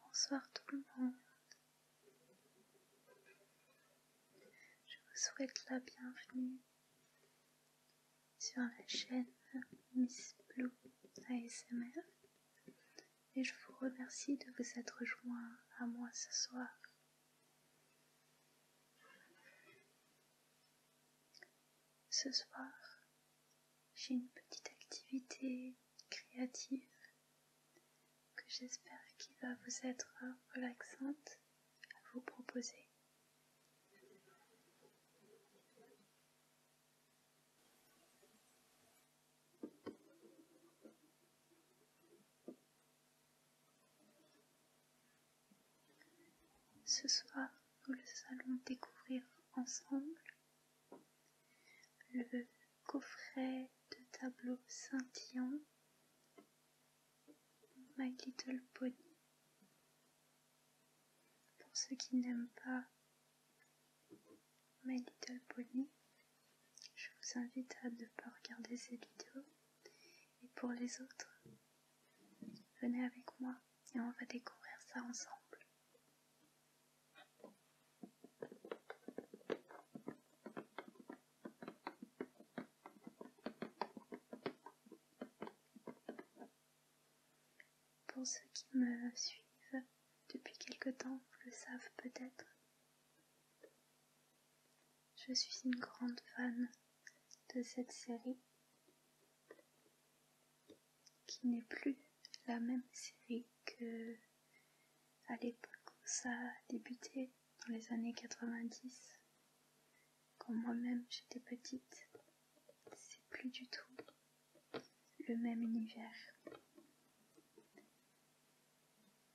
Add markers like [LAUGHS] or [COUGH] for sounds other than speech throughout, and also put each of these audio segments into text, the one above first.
Bonsoir tout le monde. Je vous souhaite la bienvenue sur la chaîne Miss Blue ASMR et je vous remercie de vous être joints à moi ce soir. Ce soir, j'ai une petite activité créative que j'espère qu'il va vous être relaxante à vous proposer. Ce soir, nous allons découvrir ensemble le coffret de tableaux scintillants My Little Pony. Pour ceux qui n'aiment pas My Little Pony. Je vous invite à ne pas regarder cette vidéo. Et pour les autres, venez avec moi et on va découvrir ça ensemble. Pour ceux qui me suivent depuis quelque temps, le savent peut-être. Je suis une grande fan de cette série qui n'est plus la même série que à l'époque où ça a débuté dans les années 90 quand moi-même j'étais petite c'est plus du tout le même univers.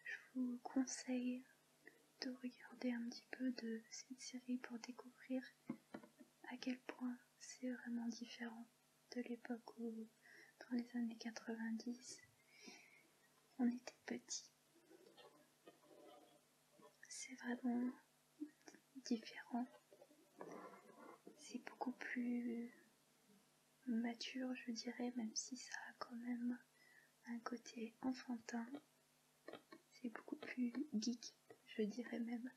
Je vous conseille de regarder un petit peu de cette série pour découvrir à quel point c'est vraiment différent de l'époque où, dans les années 90, on était petit. C'est vraiment différent. C'est beaucoup plus mature, je dirais, même si ça a quand même un côté enfantin. C'est beaucoup plus geek, je dirais même.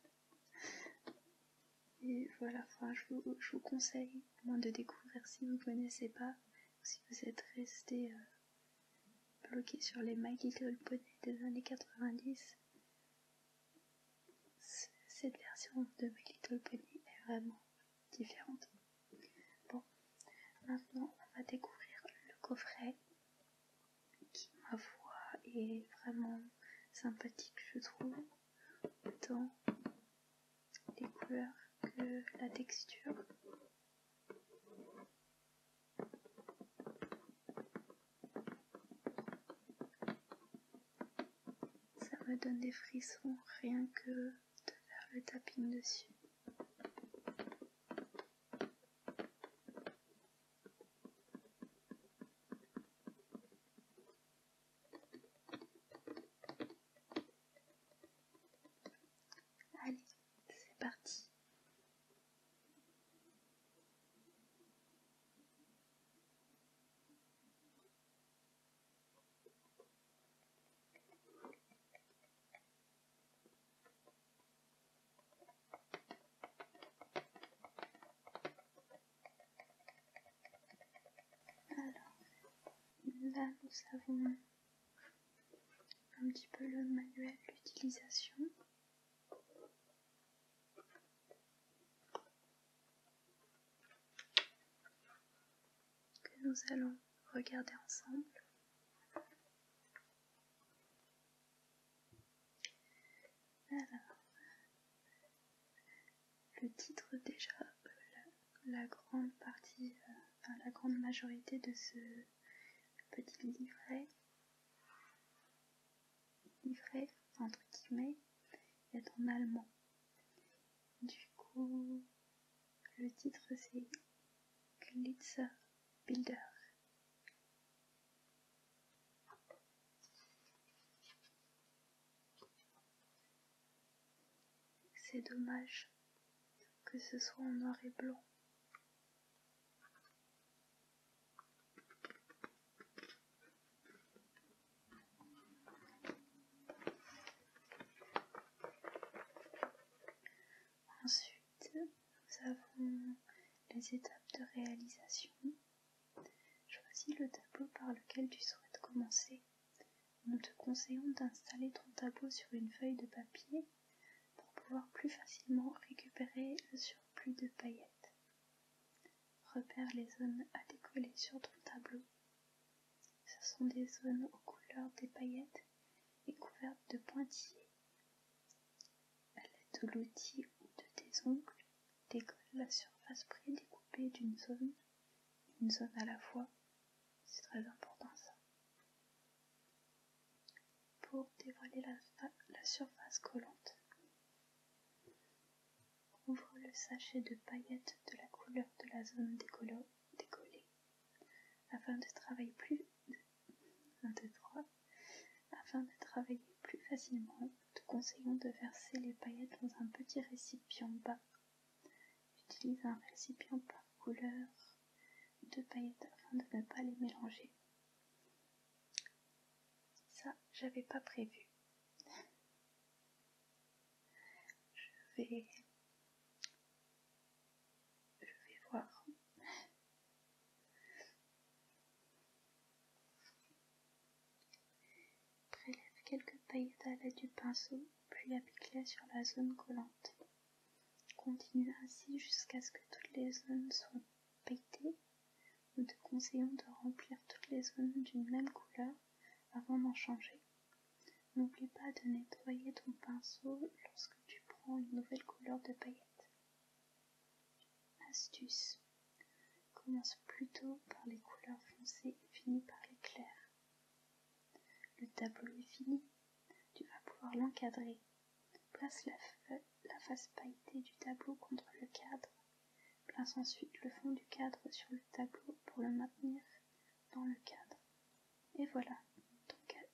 Et voilà, je, vous, conseille moins de découvrir si vous ne connaissez pas, si vous êtes resté euh, bloqué sur les Magical bonnet des années 90 cette version de My Little Pony est vraiment différente. Bon, maintenant on va découvrir le coffret qui, ma foi, est vraiment sympathique, je trouve, autant les couleurs que la texture. Ça me donne des frissons rien que de faire le tapping dessus. Allez, c'est parti. Alors, là nous avons un petit peu le manuel d'utilisation que nous allons regarder ensemble. Alors, le titre déjà, euh, la, grande partie, euh, enfin la grande majorité de ce petit livret, livret entre guillemets, est en allemand. Du coup, le titre c'est Glitzer Bilder. C'est dommage que ce soit en noir et blanc. Ensuite, nous avons les étapes de réalisation. Choisis le tableau par lequel tu souhaites commencer. Nous te conseillons d'installer ton tableau sur une feuille de papier pour pouvoir plus facilement récupérer le surplus de paillettes. Repère les zones à décoller sur ton tableau. Ce sont des zones aux couleurs des paillettes et couvertes de pointillés. À l'aide de l'outil ou de tes ongles, décolle la surface prédécoupée d'une zone, une zone à la fois. C'est très important ça. Pour dévoiler la surface collante. Ouvre le sachet de paillettes de la couleur de la zone décollée afin de travailler plus Afin de travailler plus facilement, te conseillons de verser les paillettes dans un petit récipient bas. Utilise un récipient par couleur de paillettes afin de ne pas les mélanger. Ça, j'avais pas prévu je vais, je vais voir. Prélève quelques paillettes à l'aide du pinceau, puis applique-les sur la zone collante. Continue ainsi jusqu'à ce que toutes les zones soient pailletées. Nous te conseillons de remplir toutes les zones d'une même couleur avant d'en changer. N'oublie pas de nettoyer ton pinceau lorsque tu prends une nouvelle couleur de paillette. Astuce. Commence plutôt par les couleurs foncées et finis par les claires. Le tableau est fini. Tu vas pouvoir l'encadrer. Place la face pailletée du tableau contre le cadre Place ensuite le fond du cadre sur le tableau pour le maintenir dans le cadre. Et voilà,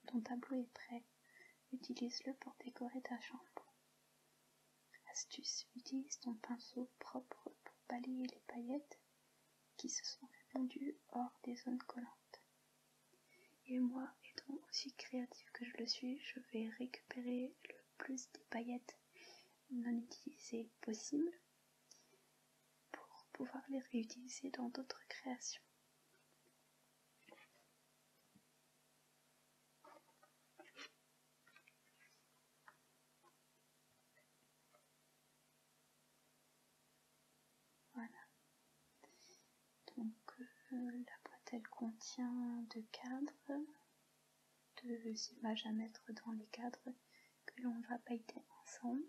ton, tableau est prêt. Utilise-le pour décorer ta chambre. Astuce, utilise ton pinceau propre pour balayer les paillettes qui se sont répandues hors des zones collantes. Et moi, étant aussi créatif que je le suis, je vais récupérer le plus des paillettes non utilisées possible pour pouvoir les réutiliser dans d'autres créations. Voilà. Donc euh, la boîte elle contient deux cadres, deux images à mettre dans les cadres que l'on va pailleter ensemble,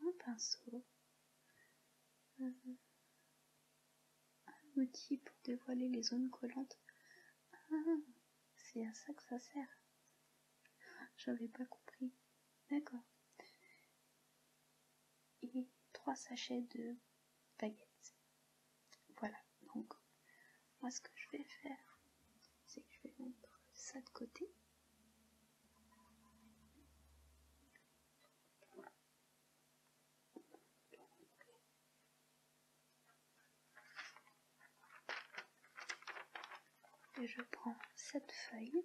un pinceau, euh, un outil pour dévoiler les zones collantes. Ah, c'est à ça que ça sert. J'avais pas compris. D'accord. Et trois sachets de baguettes. Voilà donc moi ce que je vais faire c'est que je vais mettre ça de côté et je prends cette feuille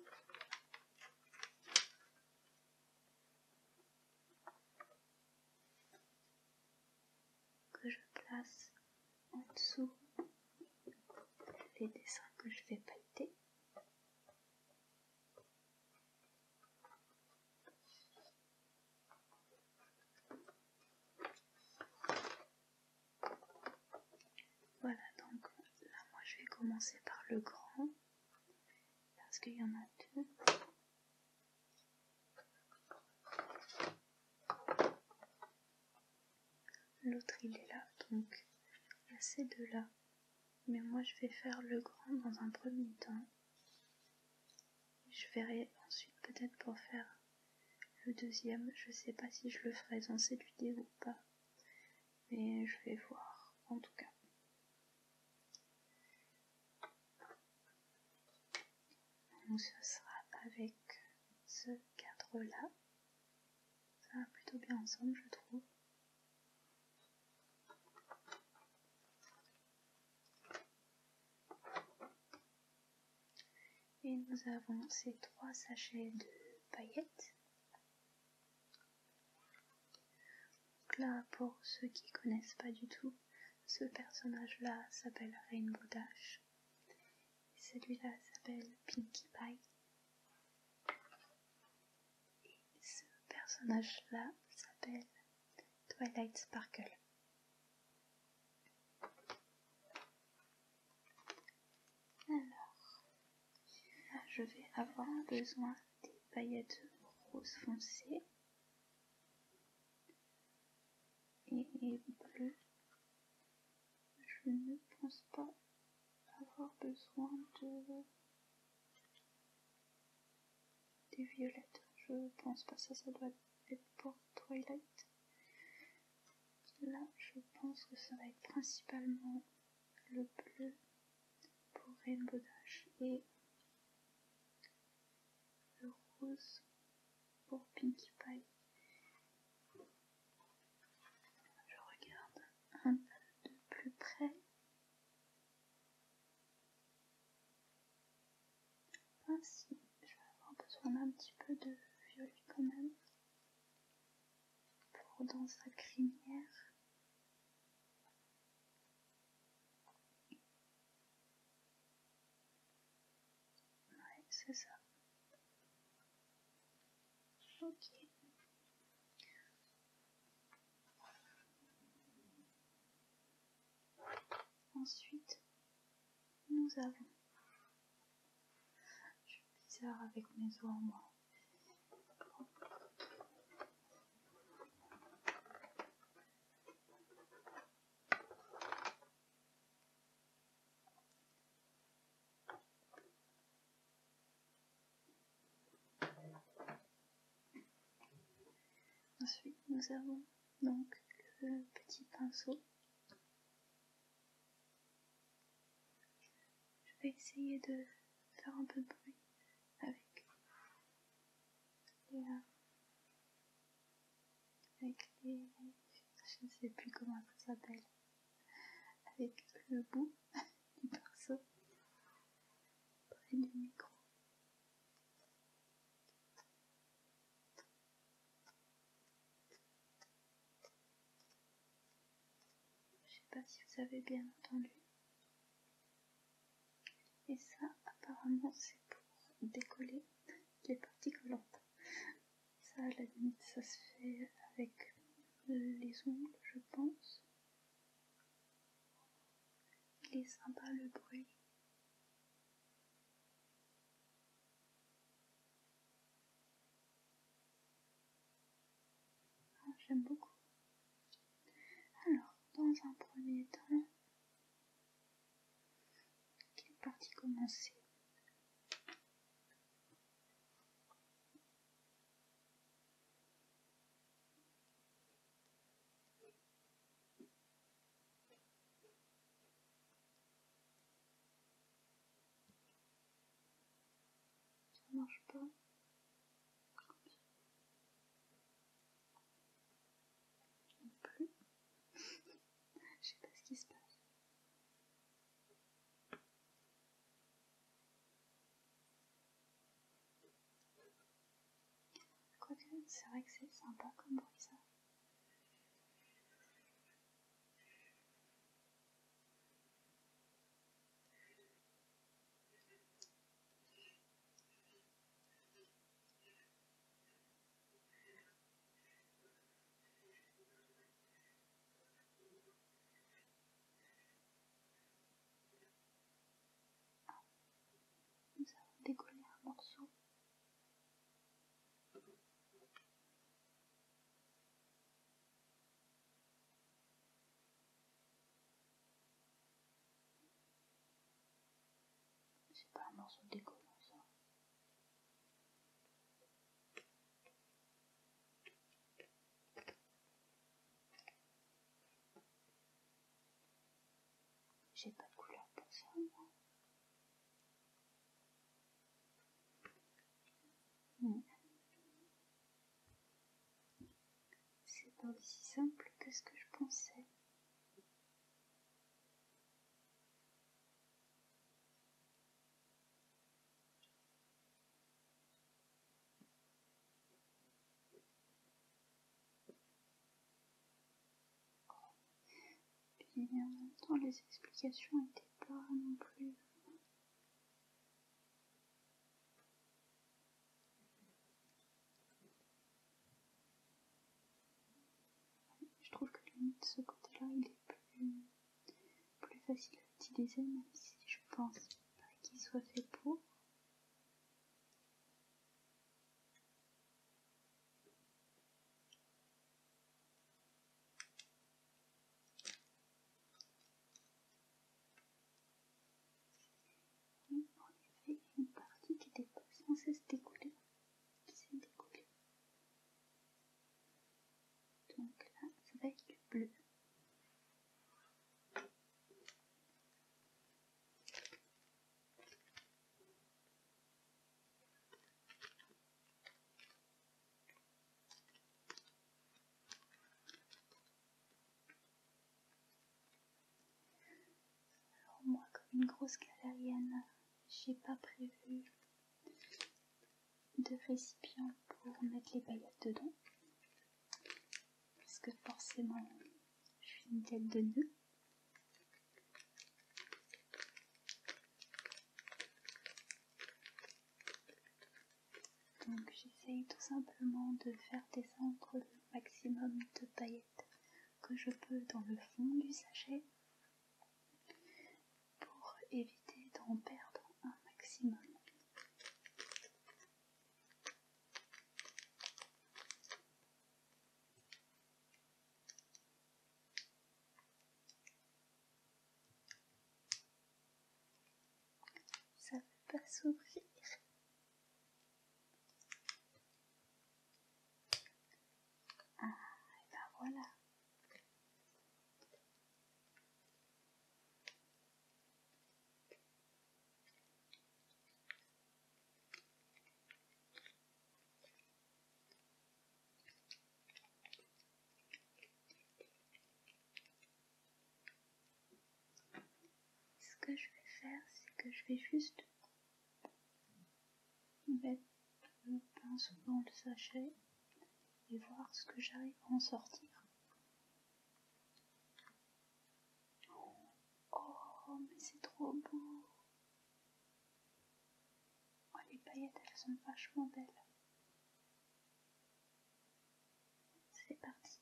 que je place en dessous les dessins que je vais pâter Voilà, donc là, moi je vais commencer par le grand, parce qu'il y en a deux. L'autre il est là, donc assez de là Mais moi je vais faire le grand dans un premier temps. Je verrai ensuite peut-être pour faire le deuxième. Je sais pas si je le ferai dans cette vidéo ou pas. Mais je vais voir en tout cas. On ce sera avec ce cadre-là. Ça va plutôt bien ensemble, je trouve. Et nous avons ces trois sachets de paillettes. Donc là, pour ceux qui connaissent pas du tout, ce personnage-là s'appelle Rainbow Dash. Celui-là s'appelle Pinkie Pie. Et ce personnage-là s'appelle Twilight Sparkle. Alors, je vais avoir besoin des paillettes roses foncées et bleu, je ne pense pas avoir besoin de des violettes. Je pense pas ça, ça doit être pour Twilight. Là, je pense que ça va être principalement le bleu pour Rainbow Dash et le rose pour Pinkie Pie. Je regarde un peu de plus près. ainsi ah, je vais avoir besoin d'un petit peu de violet quand même pour dans sa crinière. Ouais, c'est ça. Ok. Ensuite, nous avons. Je suis bizarre avec mes ombres, Ensuite, nous avons donc le petit pinceau. Je vais essayer de faire un peu de bruit avec avec je ne sais plus comment ça s'appelle, avec le bout du pinceau près du micro. Je sais pas si vous avez bien entendu. Et ça, apparemment, c'est pour décoller les parties collantes. Ça, à la limite, ça se fait avec les ongles, je pense. Il est sympa le bruit. Ah, j'aime beaucoup. Alors, dans un premier temps, quelle partie commencer Ça marche pas. Non plus. Je sais pas ce qui se passe. c'est vrai que c'est sympa comme bruit ça. Nous avons décollé un morceau. C'est pas un morceau décollant ça. J'ai pas de couleur pour ça, hmm. C'est pas aussi simple que ce que je pensais. Et en les explications n'étaient pas non plus. Je trouve que ce côté-là il est plus, facile à utiliser même si je pense pas qu'il soit fait pour. une partie qui n'était pas censée se découler. C'est s'est Donc là, ça va être du bleu. Alors moi comme une grosse galérienne, j'ai pas prévu de récipients pour mettre les paillettes dedans parce que forcément je suis une tête de deux. donc j'essaye tout simplement de faire descendre le maximum de paillettes que je peux dans le fond du sachet pour éviter d'en perdre un maximum. Ça ne veut pas s'ouvrir. Ah, et ben voilà, ce que je vais faire, c'est que je vais juste le pinceau dans le sachet et voir ce que j'arrive à en sortir. Oh, mais c'est trop beau! Oh, les paillettes, elles sont vachement belles. C'est parti.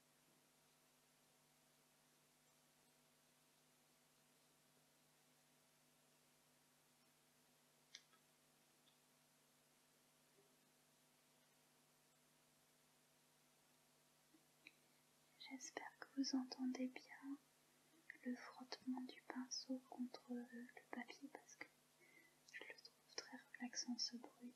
J'espère que vous entendez bien le frottement du pinceau contre le papier parce que je le trouve très relaxant ce bruit.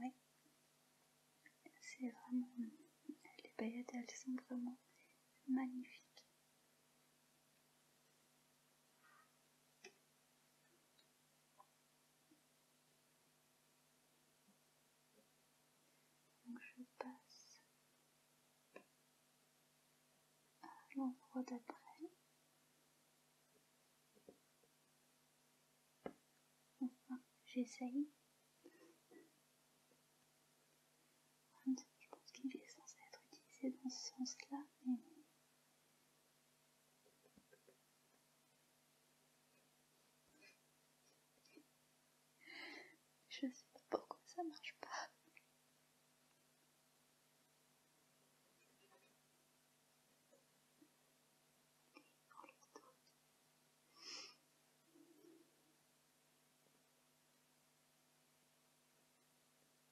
Oui, c'est vraiment... Les paillettes, elles sont vraiment magnifiques. Donc je passe à l'endroit d'après. Enfin, j'essaye. Je pense qu'il est censé être utilisé dans ce sens-là, je ne sais pas pourquoi ça marche pas.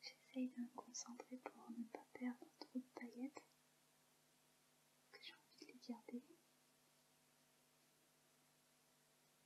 J'essaye de me concentrer pour ne pas perdre trop de paillettes, que j'ai envie de les garder.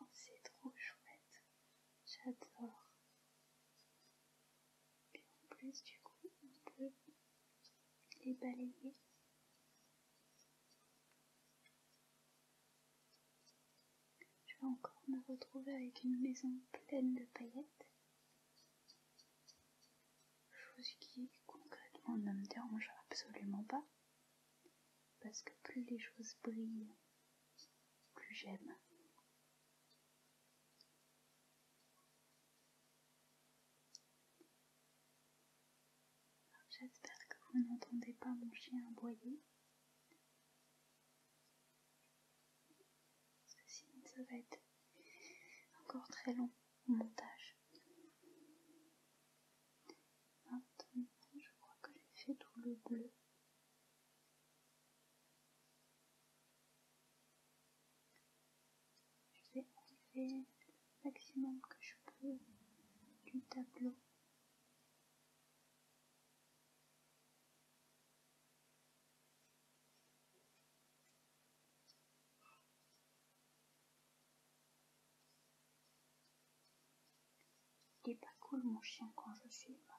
Oh, c'est trop chouette. J'adore. Et en plus, du coup, on peut les balayer. Je vais encore me retrouver avec une maison pleine de paillettes. Chose qui concrètement ne me dérange absolument pas. Parce que plus les choses brillent, plus j'aime. J'espère que vous n'entendez pas mon chien aboyer. Parce que sinon ça va être encore très long au montage. Maintenant, je crois que j'ai fait tout le bleu. Je vais enlever le maximum que je peux du tableau il est pas cool mon chien quand je suis là.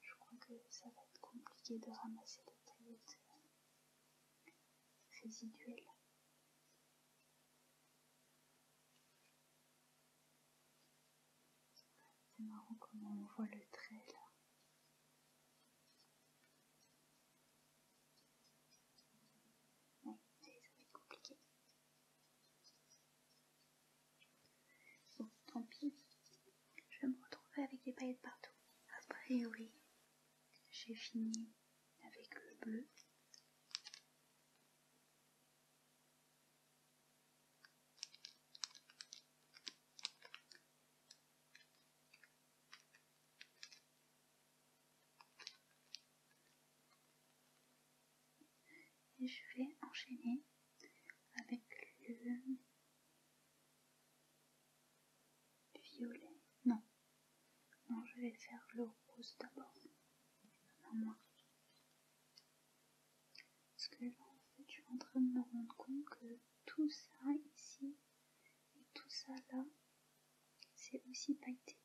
Je crois que ça va être compliqué de ramasser les taillettes euh, résiduelles. C'est marrant comment on voit le trait là. Oui, ça va être compliqué. Bon, tant pis, je me retrouver avec des paillettes partout. A priori, j'ai fini avec le bleu et je vais enchaîner avec le violet. Non, non, je vais faire le rose d'abord. Parce que là, en fait, je suis en train de me rendre compte que tout ça ici et tout ça là, c'est aussi pailleté.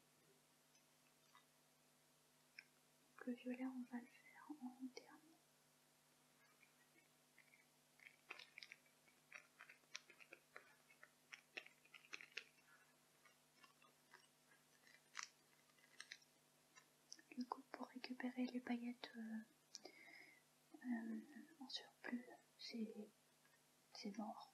Donc le violet, on va le faire en dernier. Du coup, pour récupérer les paillettes euh, euh, en surplus, c'est mort.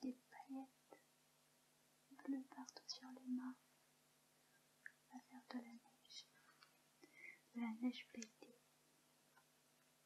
des paillettes bleues partout sur les mains. à faire de la neige. De la neige pétée.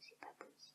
C'est pas possible.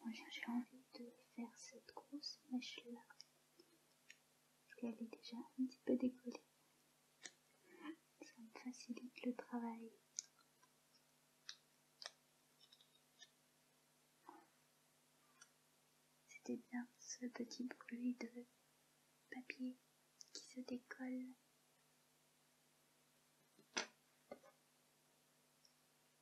Moi j'ai envie de faire cette grosse mèche là elle est déjà un petit peu décollée. Ça me facilite le travail. C'était bien ce petit bruit de papier qui se décolle.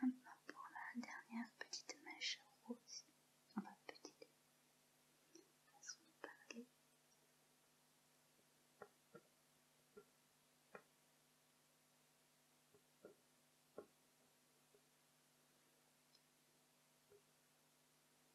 Maintenant pour la dernière petite mèche rose, enfin petite façon de parler.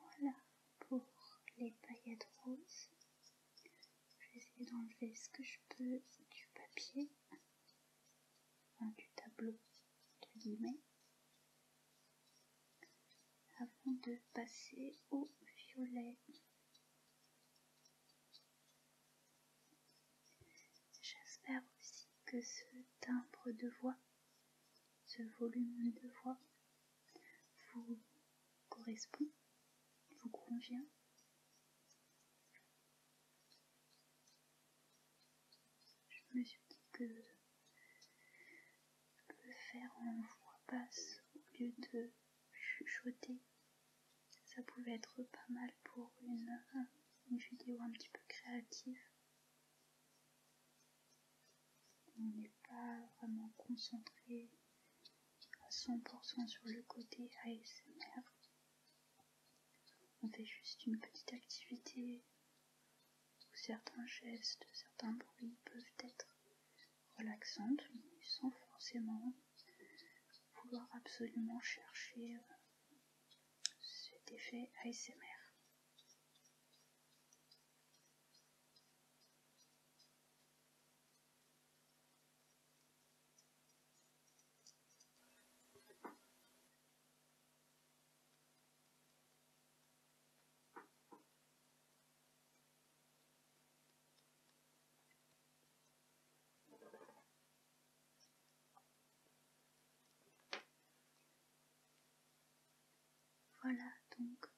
Voilà pour les paillettes roses. Je vais essayer d'enlever ce que je peux du papier, du tableau, entre guillemets, avant de passer au violet. J'espère aussi que ce timbre de voix, ce volume de voix, vous correspond, vous convient Je me suis dit que je faire en voix basse au lieu de chuchoter. Ça pouvait être pas mal pour une vidéo un petit peu créative. On n'est pas vraiment concentré à 100% sur le côté ASMR. On fait juste une petite activité où certains gestes, certains bruits peuvent être relaxants sans forcément vouloir absolument chercher euh, cet effet ASMR. Voilà donc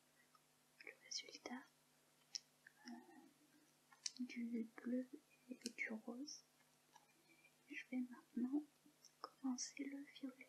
le résultat du bleu et du rose. Je vais maintenant commencer le violet.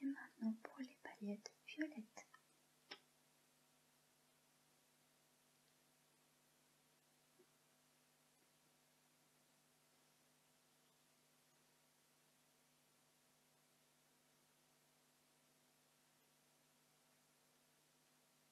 Et maintenant pour les paillettes violettes.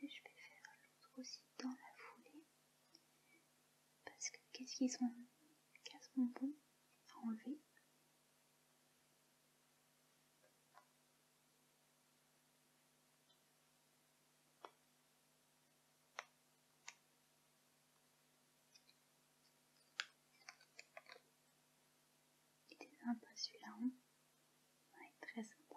Et je vais faire l'autre aussi dans la foulée. Parce que qu'est-ce qu'ils sont ce bon à enlever il est sympa celui-là, hein très sympa.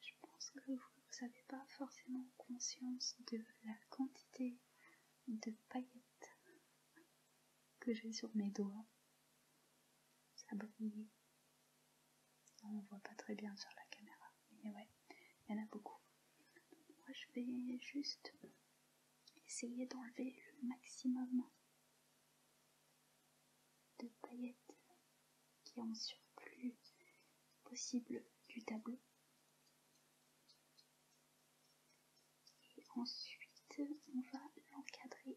Je pense que vous vous n'avez pas forcément conscience de la quantité de paillettes que j'ai sur mes doigts. Ça brille. On ne voit pas très bien sur la caméra, mais ouais, il y en a beaucoup. moi je vais juste essayer d'enlever le maximum de paillettes qui ont surplus possible du tableau. Et ensuite, on va l'encadrer.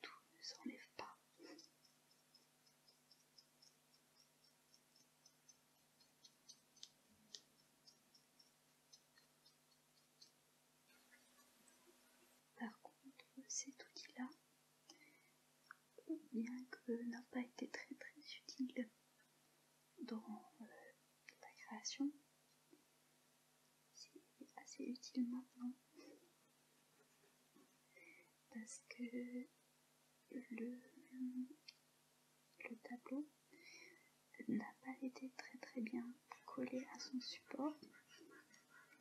tout ne s'enlève pas. Par contre, cet outil-là, bien que n'a pas été très très utile dans euh, la création, c'est assez utile maintenant parce que le, tableau n'a pas été très très bien collé à son support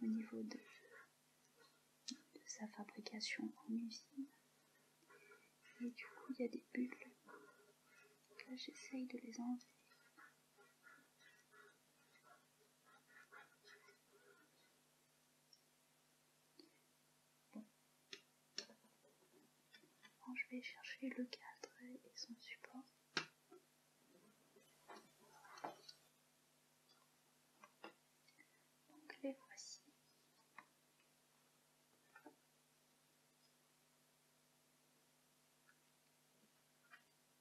au niveau de, de sa fabrication en usine et du coup il y a des bulles là j'essaye de les enlever je vais chercher le cadre et son support. Donc les voici.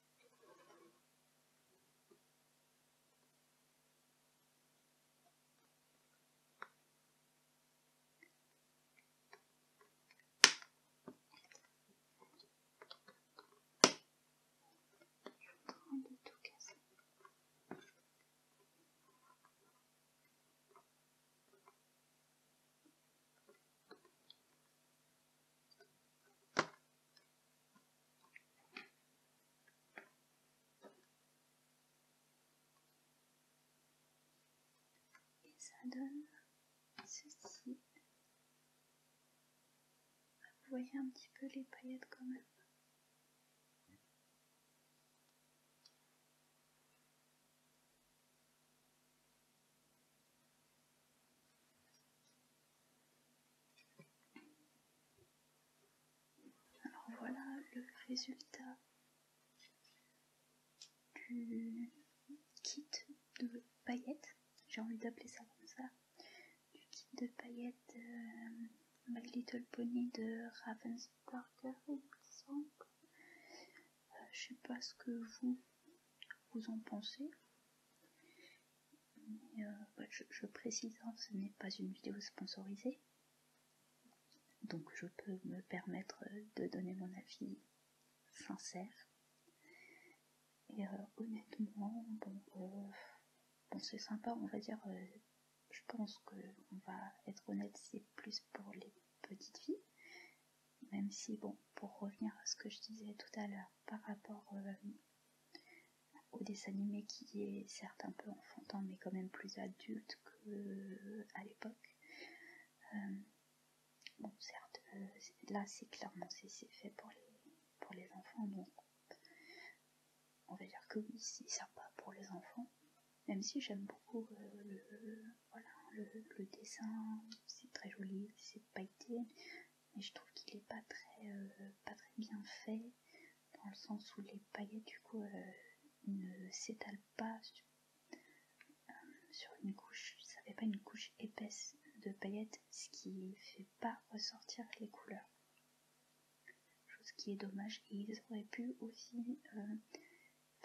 train de tout casser. Et ça donne ceci. Vous voyez un petit peu les paillettes quand même. Alors voilà le résultat du kit de paillettes, j'ai envie d'appeler ça comme ça, du kit de paillettes euh, My Little Pony de Ravens Parker. me euh, je sais pas ce que vous en pensez. Euh, bah, je, précise, hein, ce n'est pas une vidéo sponsorisée, donc je peux me permettre euh, de donner mon avis sincère. Et euh, honnêtement, bon, c'est sympa, on va dire, je pense qu'on va être honnête, c'est plus pour les petites filles, même si, bon, pour revenir à ce que je disais tout à l'heure, par rapport au dessin animé qui est certes un peu enfantin mais quand même plus adulte qu'à l'époque. Euh, bon certes euh, là c'est clairement c'est fait pour les, pour les enfants donc on va dire que oui c'est sympa pour les enfants même si j'aime beaucoup euh, le, le dessin c'est très joli c'est pailleté mais je trouve qu'il est euh, pas très, bien fait dans le sens où les paillettes du coup euh, ne s'étalent pas euh, sur, une couche, ça fait pas une couche épaisse de paillettes, ce qui fait pas ressortir les couleurs. Chose qui est dommage et ils auraient pu aussi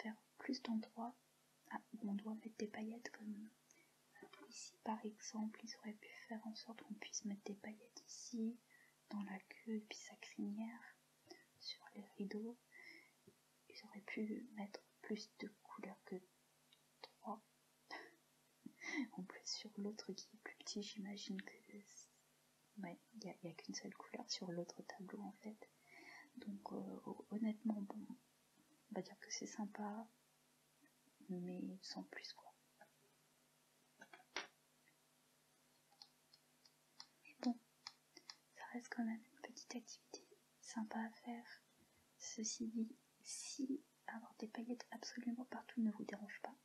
faire plus d'endroits ah, où on doit mettre des paillettes comme Ici, par exemple, ils auraient pu faire en sorte qu'on puisse mettre des paillettes ici, dans la queue, puis sa crinière, sur les rideaux. Ils auraient pu mettre plus de couleurs que trois. [LAUGHS] en plus, sur l'autre qui est plus petit, j'imagine que. il n'y a, qu'une seule couleur sur l'autre tableau en fait. Donc, euh, honnêtement, bon, on va dire que c'est sympa mais sans plus quoi. Mais bon, ça reste quand même une petite activité sympa à faire. Ceci dit, si avoir des paillettes absolument partout ne vous dérange pas.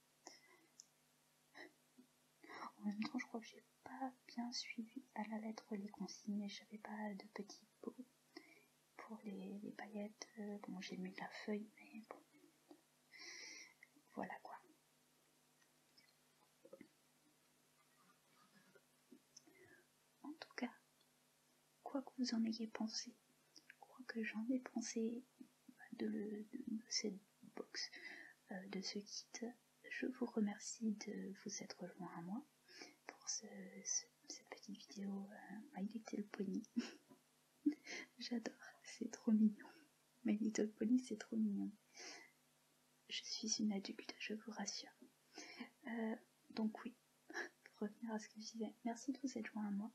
[LAUGHS] En même temps, je crois que j'ai pas bien suivi à la lettre les consignes, j'avais pas de petits pots pour les, paillettes. Euh, bon, j'ai mis de la feuille, mais bon. Voilà quoi. En tout cas, quoi que vous en ayez pensé, quoi que j'en ai pensé de, cette box, euh, de ce kit, je vous remercie de vous être rejoint à moi pour ce cette petite vidéo euh, My Little Pony. [LAUGHS] J'adore, c'est trop mignon. My Little Pony, c'est trop mignon. Je suis une adulte, je vous rassure. Euh, donc oui, pour [LAUGHS] revenir à ce que je disais, merci de vous être joint à moi.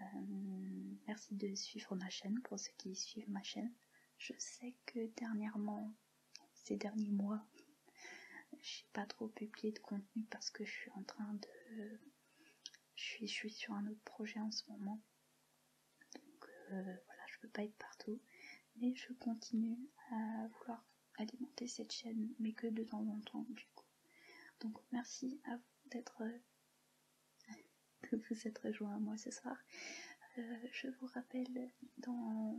Euh, merci de suivre ma chaîne, pour ceux qui suivent ma chaîne. Je sais que dernièrement, ces derniers mois, j'ai pas trop publié de contenu parce que je suis en train de. Je suis, je suis sur un autre projet en ce moment. Donc euh, voilà, je peux pas être partout. Mais je continue à vouloir alimenter cette chaîne, mais que de temps en temps du coup. Donc merci à vous d'être de euh, [LAUGHS] vous être rejoint à moi ce soir. Euh, je vous rappelle dans